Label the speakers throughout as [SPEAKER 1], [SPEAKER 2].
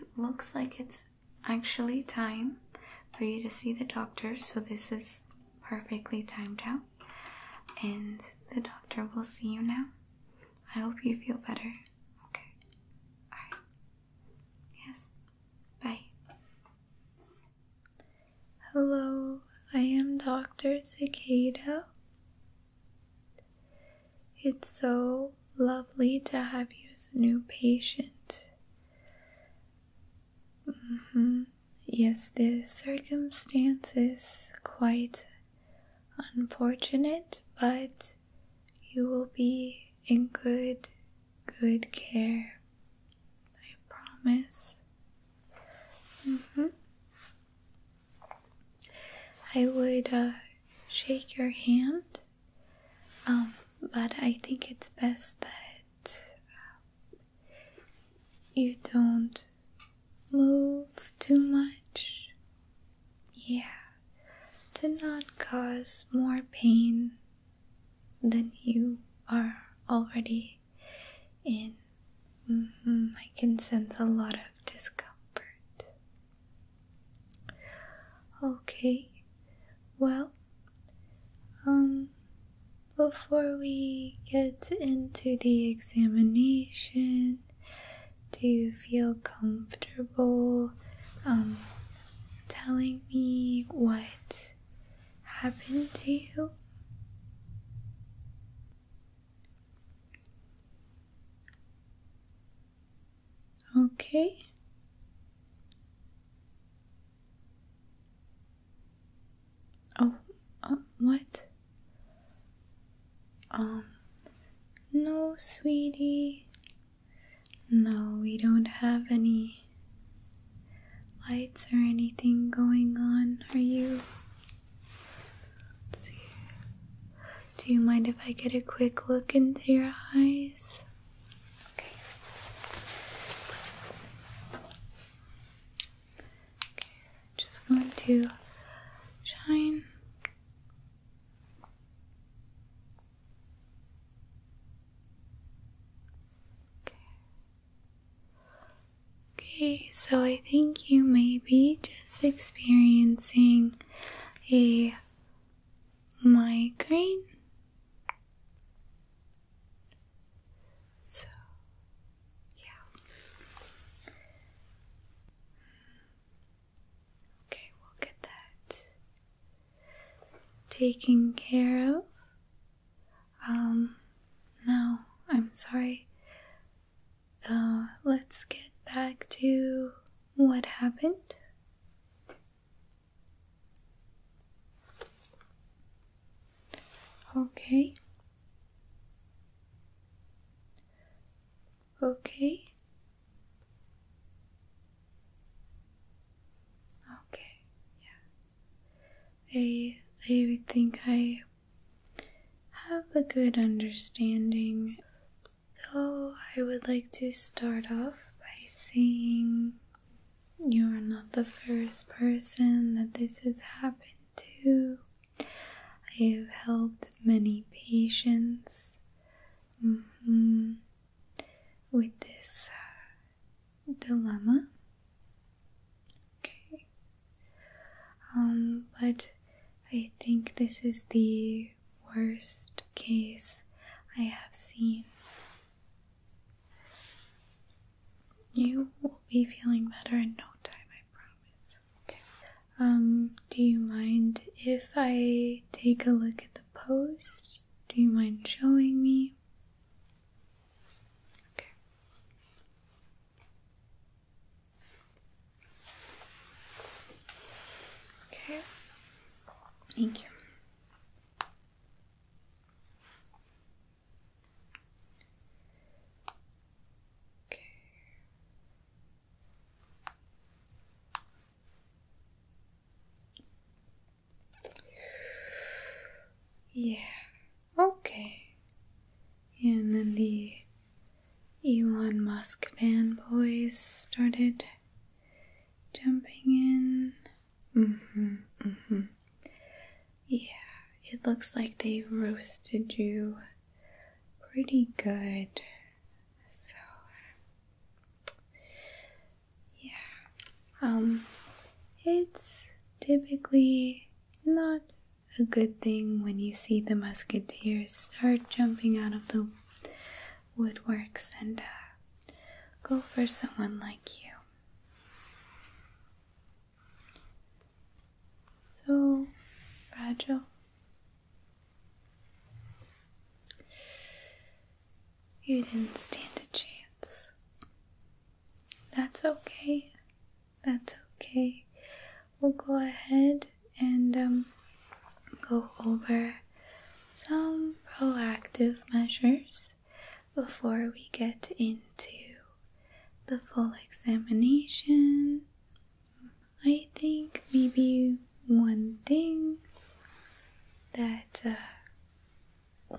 [SPEAKER 1] It looks like it's actually time for you to see the doctor, so this is perfectly timed out. And the doctor will see you now. I hope you feel better. Okay. Alright. Yes. Bye. Hello, I am Dr. Cicada. It's so lovely to have you as a new patient. -hmm. Yes, the circumstances is quite unfortunate, but you will be in good, good care. I promise. Mm -hmm. I would uh, shake your hand, um, but I think it's best that uh, you don't move too much. Yeah, to not cause more pain than you are already and mm-hmm. I can sense a lot of discomfort. Okay, well, um, before we get into the examination, do you feel comfortable um, telling me what happened to you? Okay. Oh, uh, what? Um, no, sweetie. No, we don't have any lights or anything going on? Are you? Do you mind if I get a quick look into your eyes? Okay. Okay, just going to shine. Okay. Okay, so I think you may be just experiencing a migraine. So, yeah. Okay, we'll get that taken care of. Um, no, I'm sorry. Uh, let's get back to what happened. Okay. Okay. Okay, yeah. I I think I have a good understanding. Though I would like to start off by saying you are not the first person that this has happened to. I have helped many patients mm-hmm, with this uh, dilemma. Okay. Um, but I think this is the worst case I have seen. You will be feeling better in no time, I promise. Okay. Um, do you mind if I take a look at the post? Do you mind showing me? Okay. Okay. Thank you. Okay. Yeah. Okay. And then the Elon Musk fanboys started jumping in. Mm-hmm, mm-hmm. Yeah, it looks like they roasted you pretty good. So, yeah. Um, it's typically not a good thing when you see the musketeers start jumping out of the woodworks and uh, go for someone like you. So fragile. You didn't stand a chance. That's okay. That's okay. We'll go ahead and um, go over some proactive measures before we get into the full examination. I think maybe one thing that uh,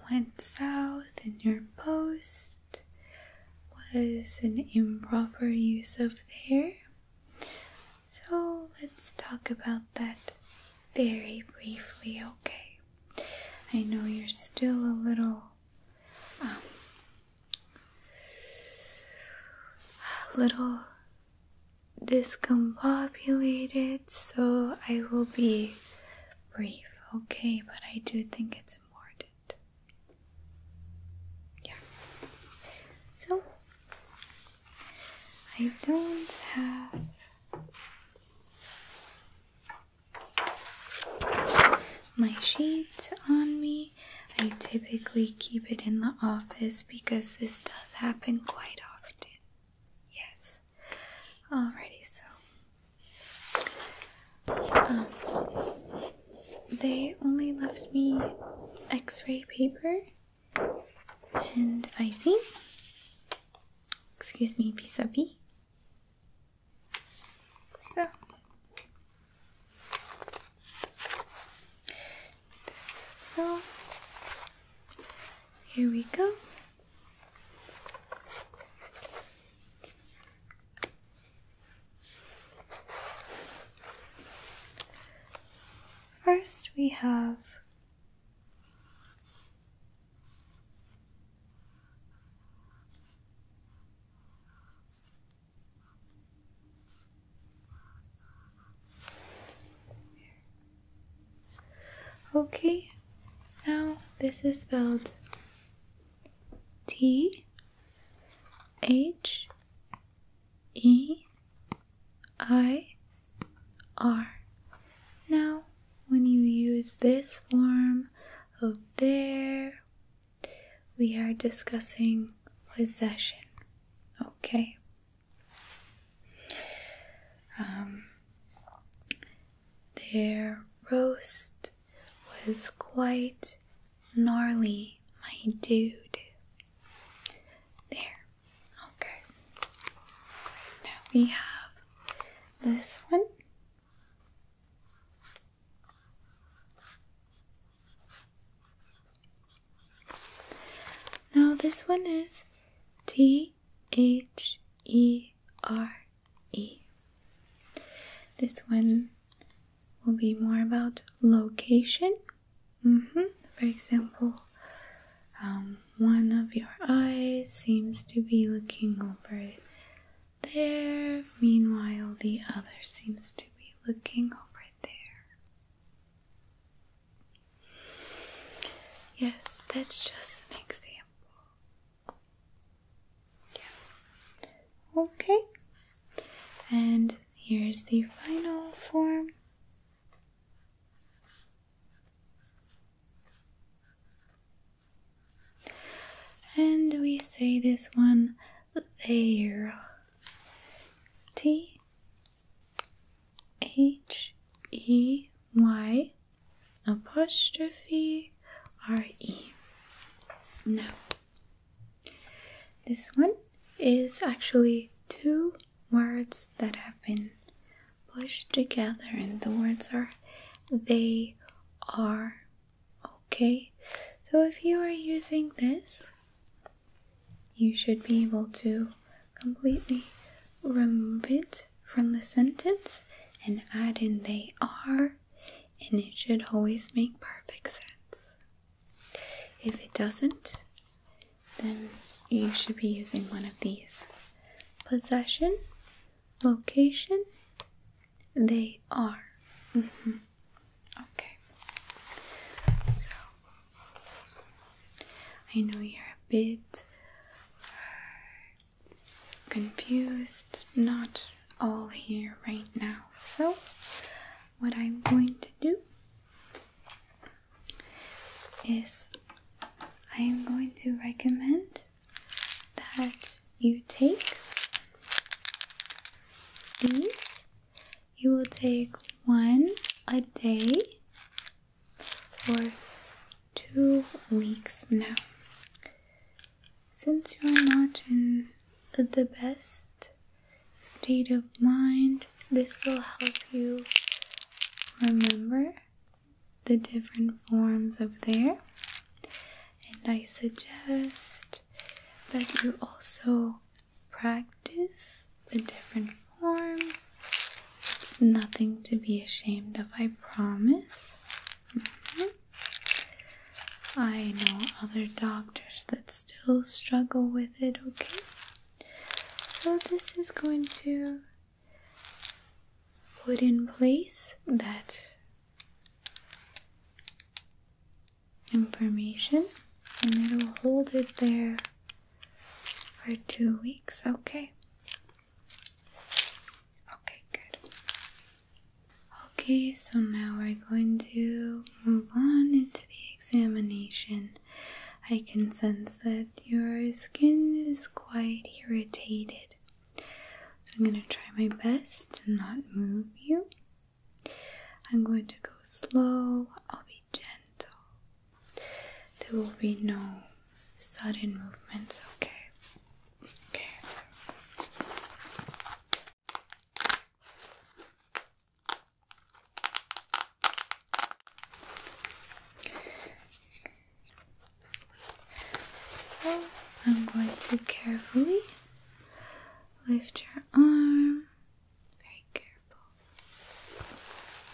[SPEAKER 1] went south and your post was an improper use of there. So let's talk about that very briefly, okay? I know you're still a little, um, a little discombobulated, so I will be brief, okay, but I do think it's important. Yeah. So, I don't have. My sheet on me. I typically keep it in the office because this does happen quite often. Yes. Alrighty, so um, they only left me X-ray paper and icing. Excuse me, vis a vis. so. Here we go. First, we have Okay, now this is spelled T H E I R. Now, when you use this form of there, we are discussing possession. Okay. Um, their roast was quite gnarly, my dude. There. Okay. Now we have this one. Now, this one is T H E R E. This one will be more about location. Mm-hmm. For example, um, one of your eyes seems to be looking over there, meanwhile, the other seems to be looking over there. Yes, that's just an example. Yeah. Okay. And here's the final form. And we say this one there. T H E Y apostrophe re. No. this one is actually two words that have been pushed together, and the words are they are okay. So, if you are using this, you should be able to completely remove it from the sentence and add in they are, and it should always make perfect sense. If it doesn't, then you should be using one of these possession, location, they are. Mm-hmm. Okay. So, I know you're a bit confused, not all here right now. So, what I'm going to do is I am going to recommend that you take these. You will take one a day for two weeks now. Since you're not in the best state of mind, this will help you remember the different forms of there. And I suggest that you also practice the different forms. It's nothing to be ashamed of, I promise. Mm-hmm. I know other doctors that still struggle with it, okay? So, this is going to put in place that information and it'll hold it there for two weeks, okay? Okay, good. Okay, so now we're going to move on into the examination. I can sense that your skin is quite irritated. So I'm going to try my best to not move you. I'm going to go slow, I'll be gentle. There will be no sudden movements, okay? Okay, so I'm going to carefully lift your arm. Very careful. Okay.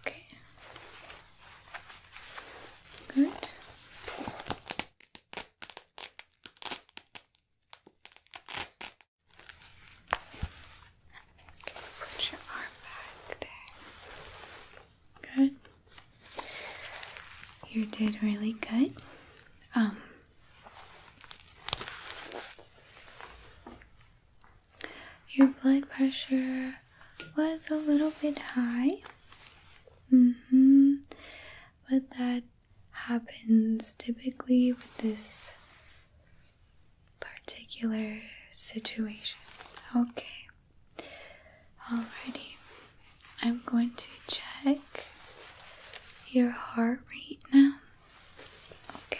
[SPEAKER 1] Okay. Good. Okay, put your arm back there. Good. You did really good. Um, your blood pressure was a little bit high. Mm-hmm. But that happens typically with this particular situation. Okay. Alrighty, I'm going to check your heart rate now. Okay.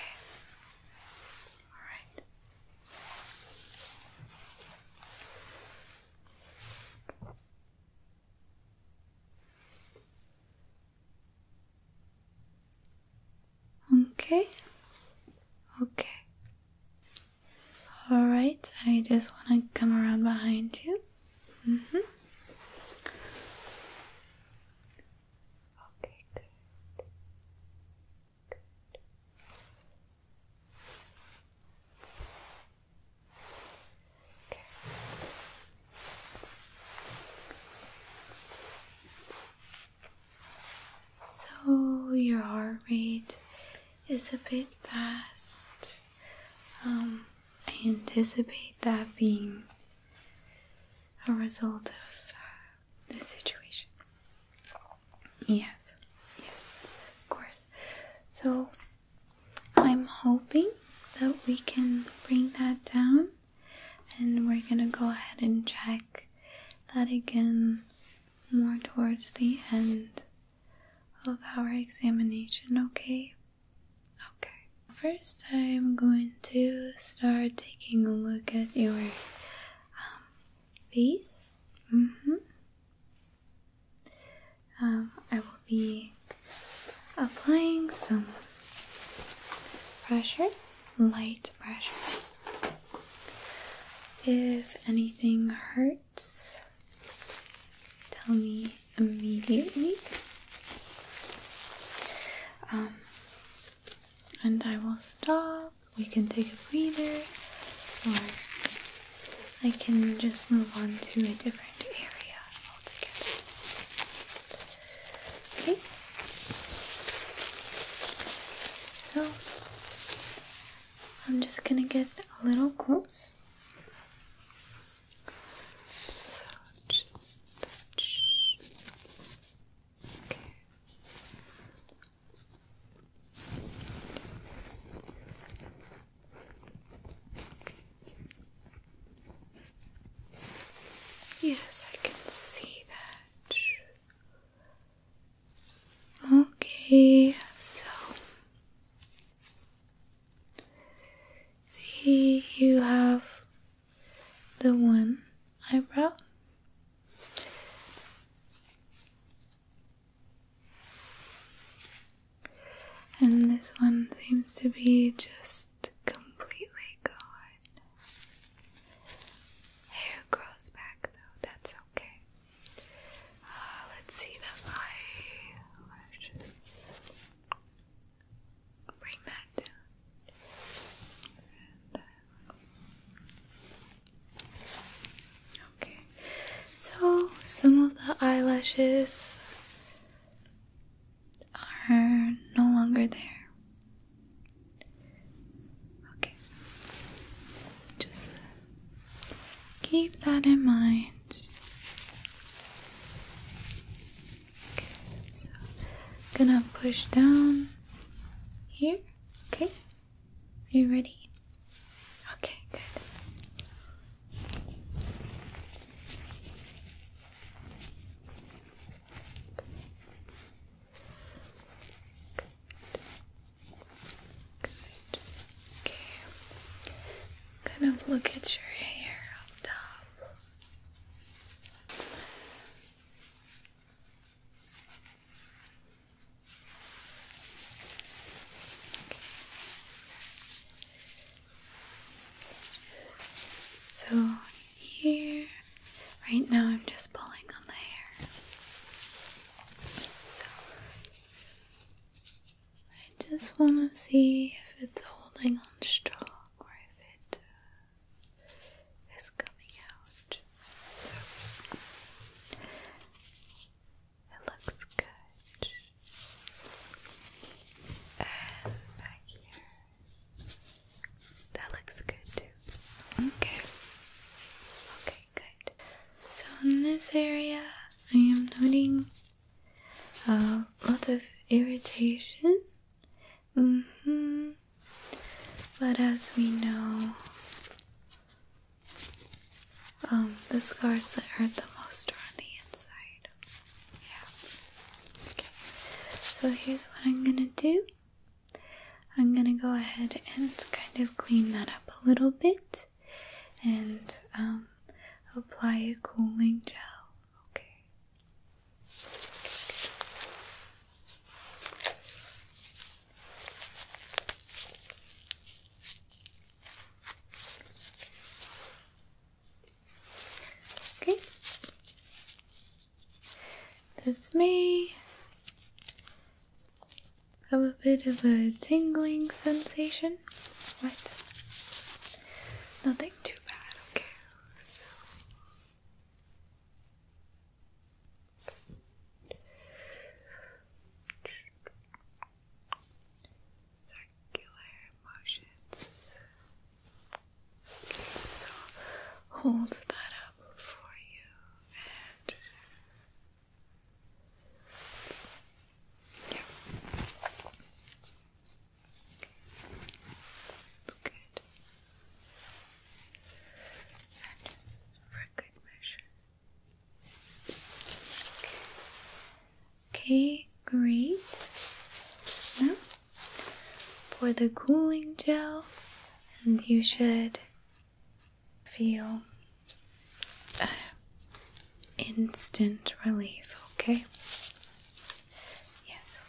[SPEAKER 1] Alright. Okay. Okay. All right, I just want to come around behind you. Mm-hmm. Okay, good. good. Okay. So your heart rate is a bit fast. Um, I anticipate that being a result of uh, the situation. Yes, yes, of course. So I'm hoping that we can bring that down and we're gonna go ahead and check that again more towards the end of our examination, okay? Okay. First, I'm going to start taking a look at your um, face. Mm-hmm. Um, I will be applying some pressure, light pressure. If anything hurts, tell me immediately. Um, and I will stop. We can take a breather, or I can just move on to a different area altogether. Okay? So, I'm just gonna get a little close. touch. okay. Yes, I can see that. Okay, so see, you have the one eyebrow. And this one seems to be just completely gone. Hair grows back though, that's okay. Uh, let's see the eyelashes. Bring that down. Okay. So some of the eyelashes are no longer there. Okay. Just keep that in mind. Okay, so I'm gonna push down here. Okay. Are you ready? Okay, good. Good. Kind of look at your hair up top. So here Right now, I'm just pulling on the hair. So, I just want to see if it's holding on strong or if it uh, coming out. So, it looks good. And back here. That looks good too. Okay. Okay. Okay, good. So in this area, I am noting uh, lots of irritation. Mm hmm. But as we know, um, the scars that hurt the most are on the inside. Yeah. Okay. So here's what I'm gonna do. I'm gonna go ahead and kind of clean that up a little bit and um, apply a cooling gel. Okay. Okay. This may have a bit of a tingling sensation. What? Nothing too bad, okay. So circular motions. Okay, so hold that up for you Okay, okay great. Now for the cooling gel, and you should feel uh, instant relief, okay? Yes.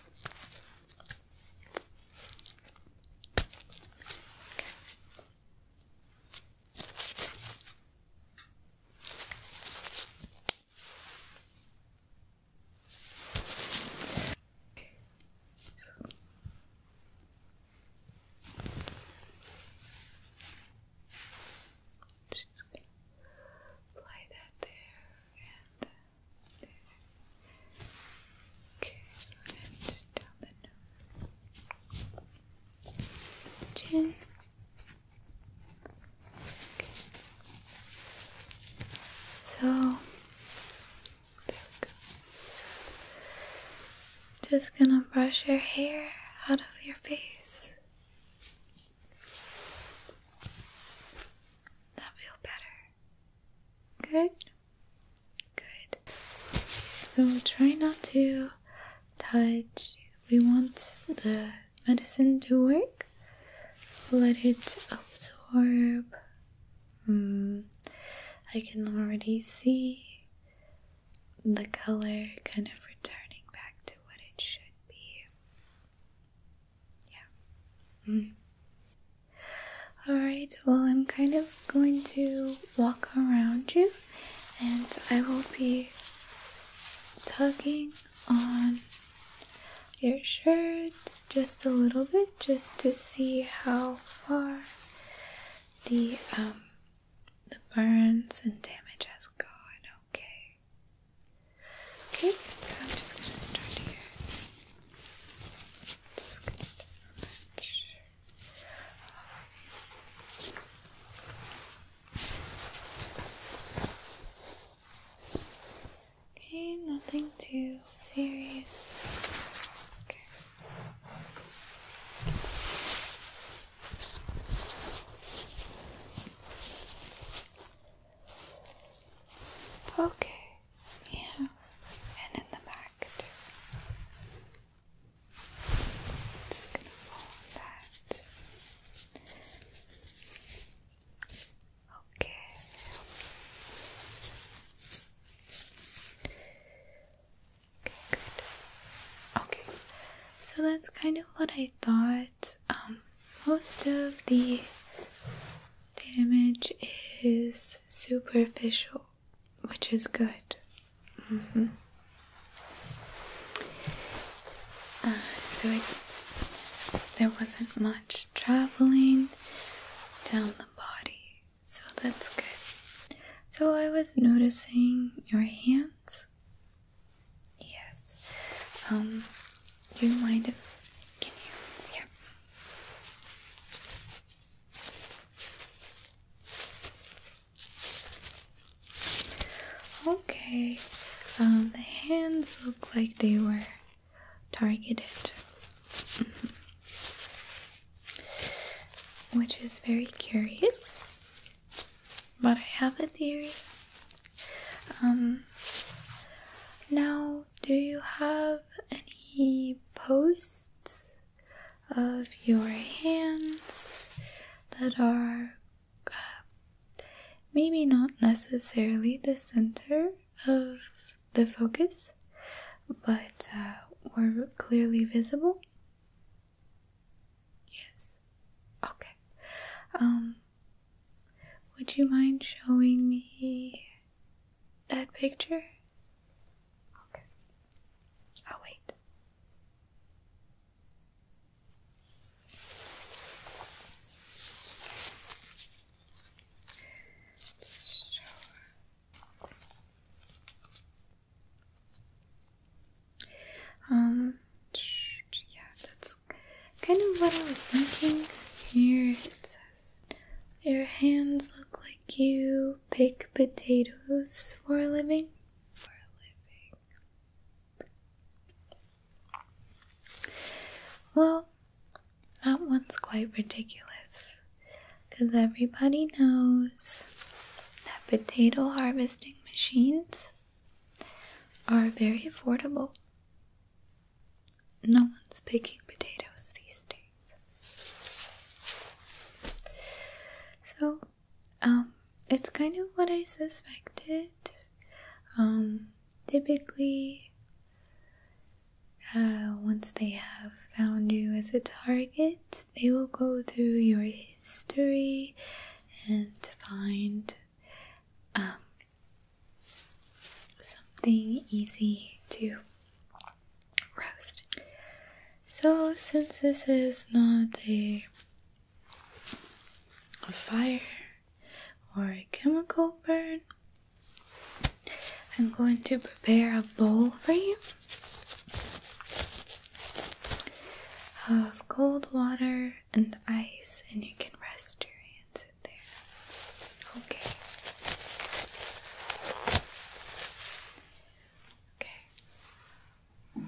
[SPEAKER 1] Just apply that there and there. Okay, and down the nose, chin. Okay. So just gonna brush your hair out of your face. That feel better. Good. Good. So try not to touch. We want the medicine to work. Let it absorb Mm, I can already see the color kind of returning back to what it should be. Yeah. Mm. Alright, well, I'm kind of going to walk around you and I will be tugging on your shirt just a little bit just to see how far the um, the burns and damage has gone. Okay. Okay, so I'm just gonna start here. Just gonna touch. Okay, nothing too serious. Okay. Okay, yeah, and in the back too. just gonna follow that. Okay. Okay, good. Okay, so that's kind of what I thought. Um, most of the damage is superficial, which is good. Mm -hmm. so there wasn't much traveling down the body. So that's good. So I was noticing your hands. Yes. Um, do you mind can you? Yeah. Okay. Um, the hands look like they were targeted. Mm-hmm which is very curious. But I have a theory. Um, now, do you have any posts of your hands that are uh, maybe not necessarily the center of the focus, but were uh, clearly visible. Yes. Okay. Um, would you mind showing me that picture? Okay. I'll wait. So um, yeah, that's kind of what I was thinking. Here it says, Your hands look like you pick potatoes for a living. For a living. Well, that one's quite ridiculous because everybody knows that potato harvesting machines are very affordable. No one's picking potatoes these days. So, um, it's kind of what I suspected. Um, typically, uh, once they have found you as a target, they will go through your history and find um, something easy to roast. So, since this is not a fire or a chemical burn, I'm going to prepare a bowl for you of cold water and ice, and you can rest your hands in there. Okay. Okay.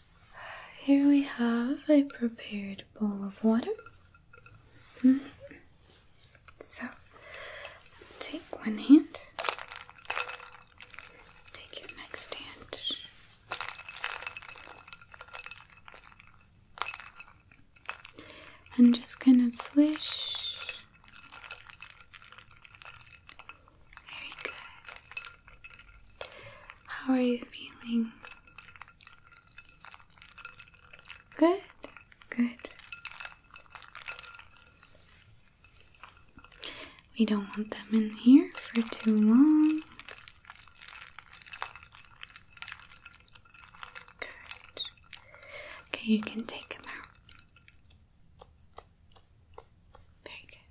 [SPEAKER 1] Here we have a prepared bowl of water. Mm-hmm. So, take one hand, take your next hand. And just kind of swish. Very good. How are you feeling? Good, good. We don't want them in here for too long. Good. Okay, you can take them out. Very good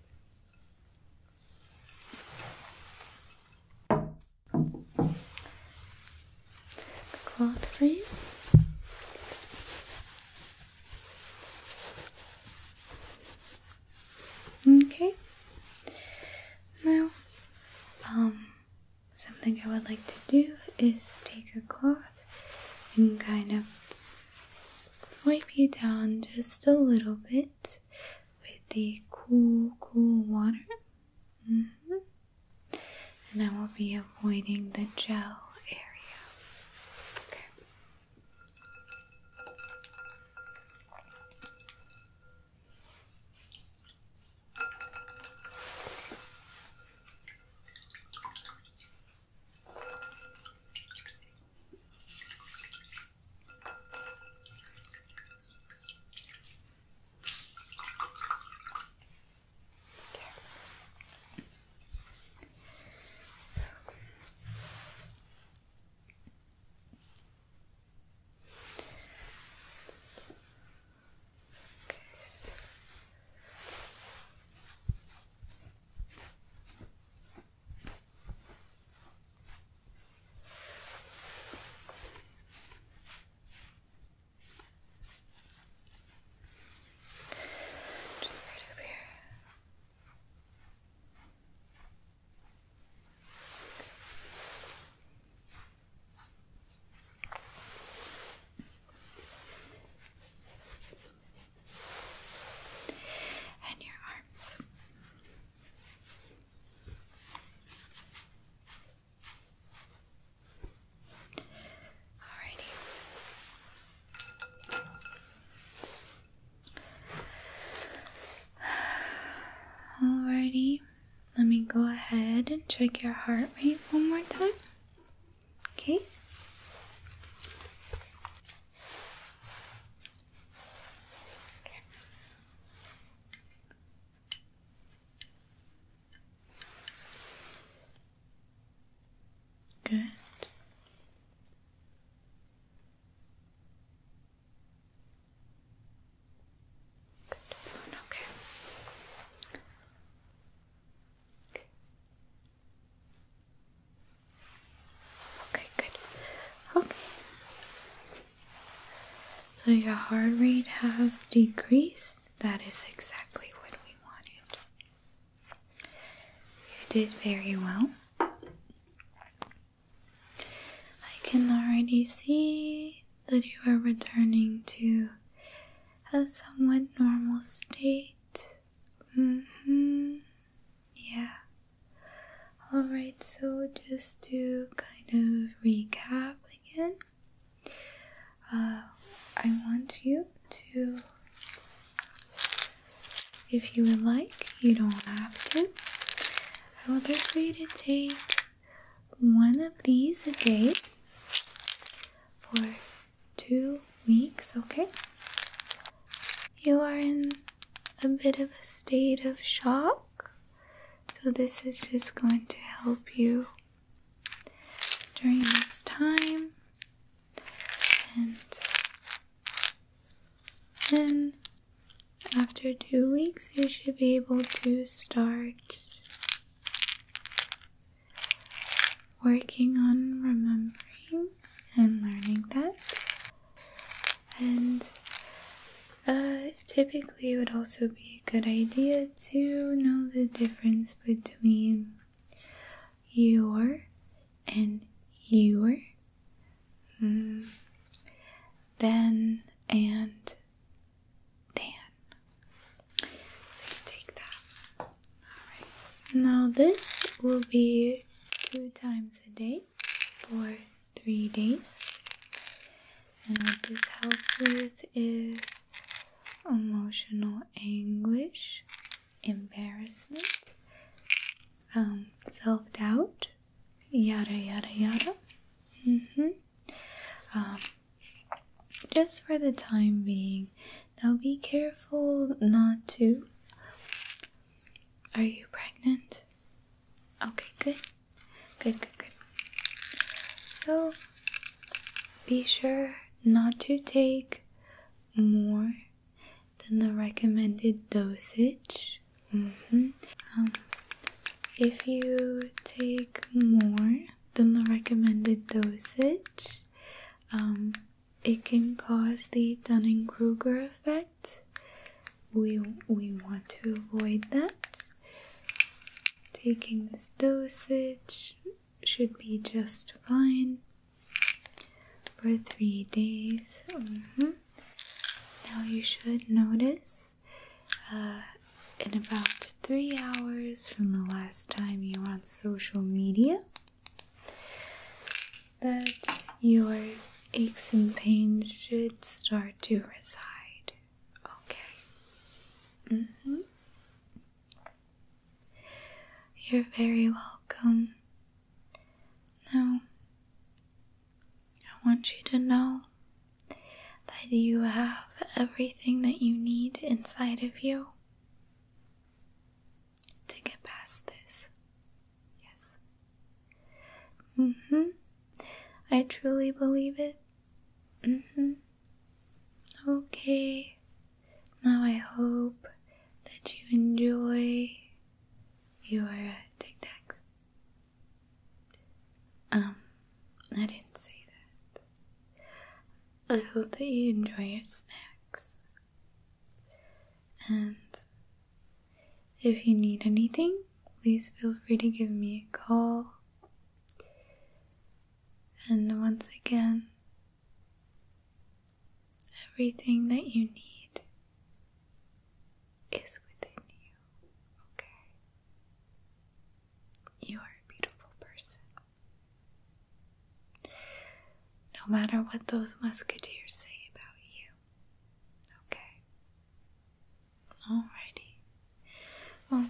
[SPEAKER 1] cloth for you. Okay. Now, um, something I would like to do is take a cloth and kind of wipe you down just a little bit with the cool, cool water. Mm-hmm. And I will be avoiding the gel area. Okay. So Okay, so. Just right over here. And your arms. Alrighty. Alrighty. Let me go ahead and check your heart rate one more time. Okay. Good. Good. Okay. okay. Okay, good. Okay. So your heart rate has decreased. That is exactly what we wanted. You did very well. I can already see that you are returning to a somewhat normal state. -hmm. Yeah. Alright, so just to kind of recap again, uh, I want you to, if you would like, you don't have to, I would like for you to take one of these a day for two weeks, okay? You are in a bit of a state of shock so, this is just going to help you during this time. And then, after two weeks, you should be able to start working on remembering and learning that. And uh, typically, it would also be a good idea to know the difference between your and your, mm, then and then. So you take that. All right. Now, this will be two times a day for three days. And what this helps with is emotional anguish, embarrassment, um, self doubt, yada yada yada. Mm-hmm. Um, just for the time being. Now be careful not to. Are you pregnant? Okay, good. Good, good, good. So be sure not to take more than the recommended dosage. Mm-hmm. Um, if you take more than the recommended dosage, um, it can cause the Dunning Kruger effect we we want to avoid that taking this dosage should be just fine for three days mm-hmm. now you should notice uh, in about three hours from the last time you are on social media that your aches and pains should start to reside. Okay. Mm-hmm. You're very welcome. Now, I want you to know that you have everything that you need inside of you to get past this. Yes. hmm. I truly believe it. hmm. Okay. Now I hope that you enjoy your tic tacs. Um, I didn't say that. I hope that you enjoy your snacks. And if you need anything, please feel free to give me a call. And once again, everything that you need is within you, okay? You are a beautiful person. No matter what those musketeers say about you, Okay. Alrighty. Well,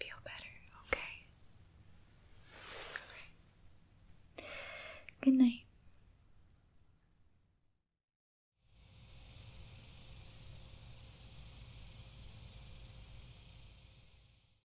[SPEAKER 1] feel better, okay? Alright. Good night.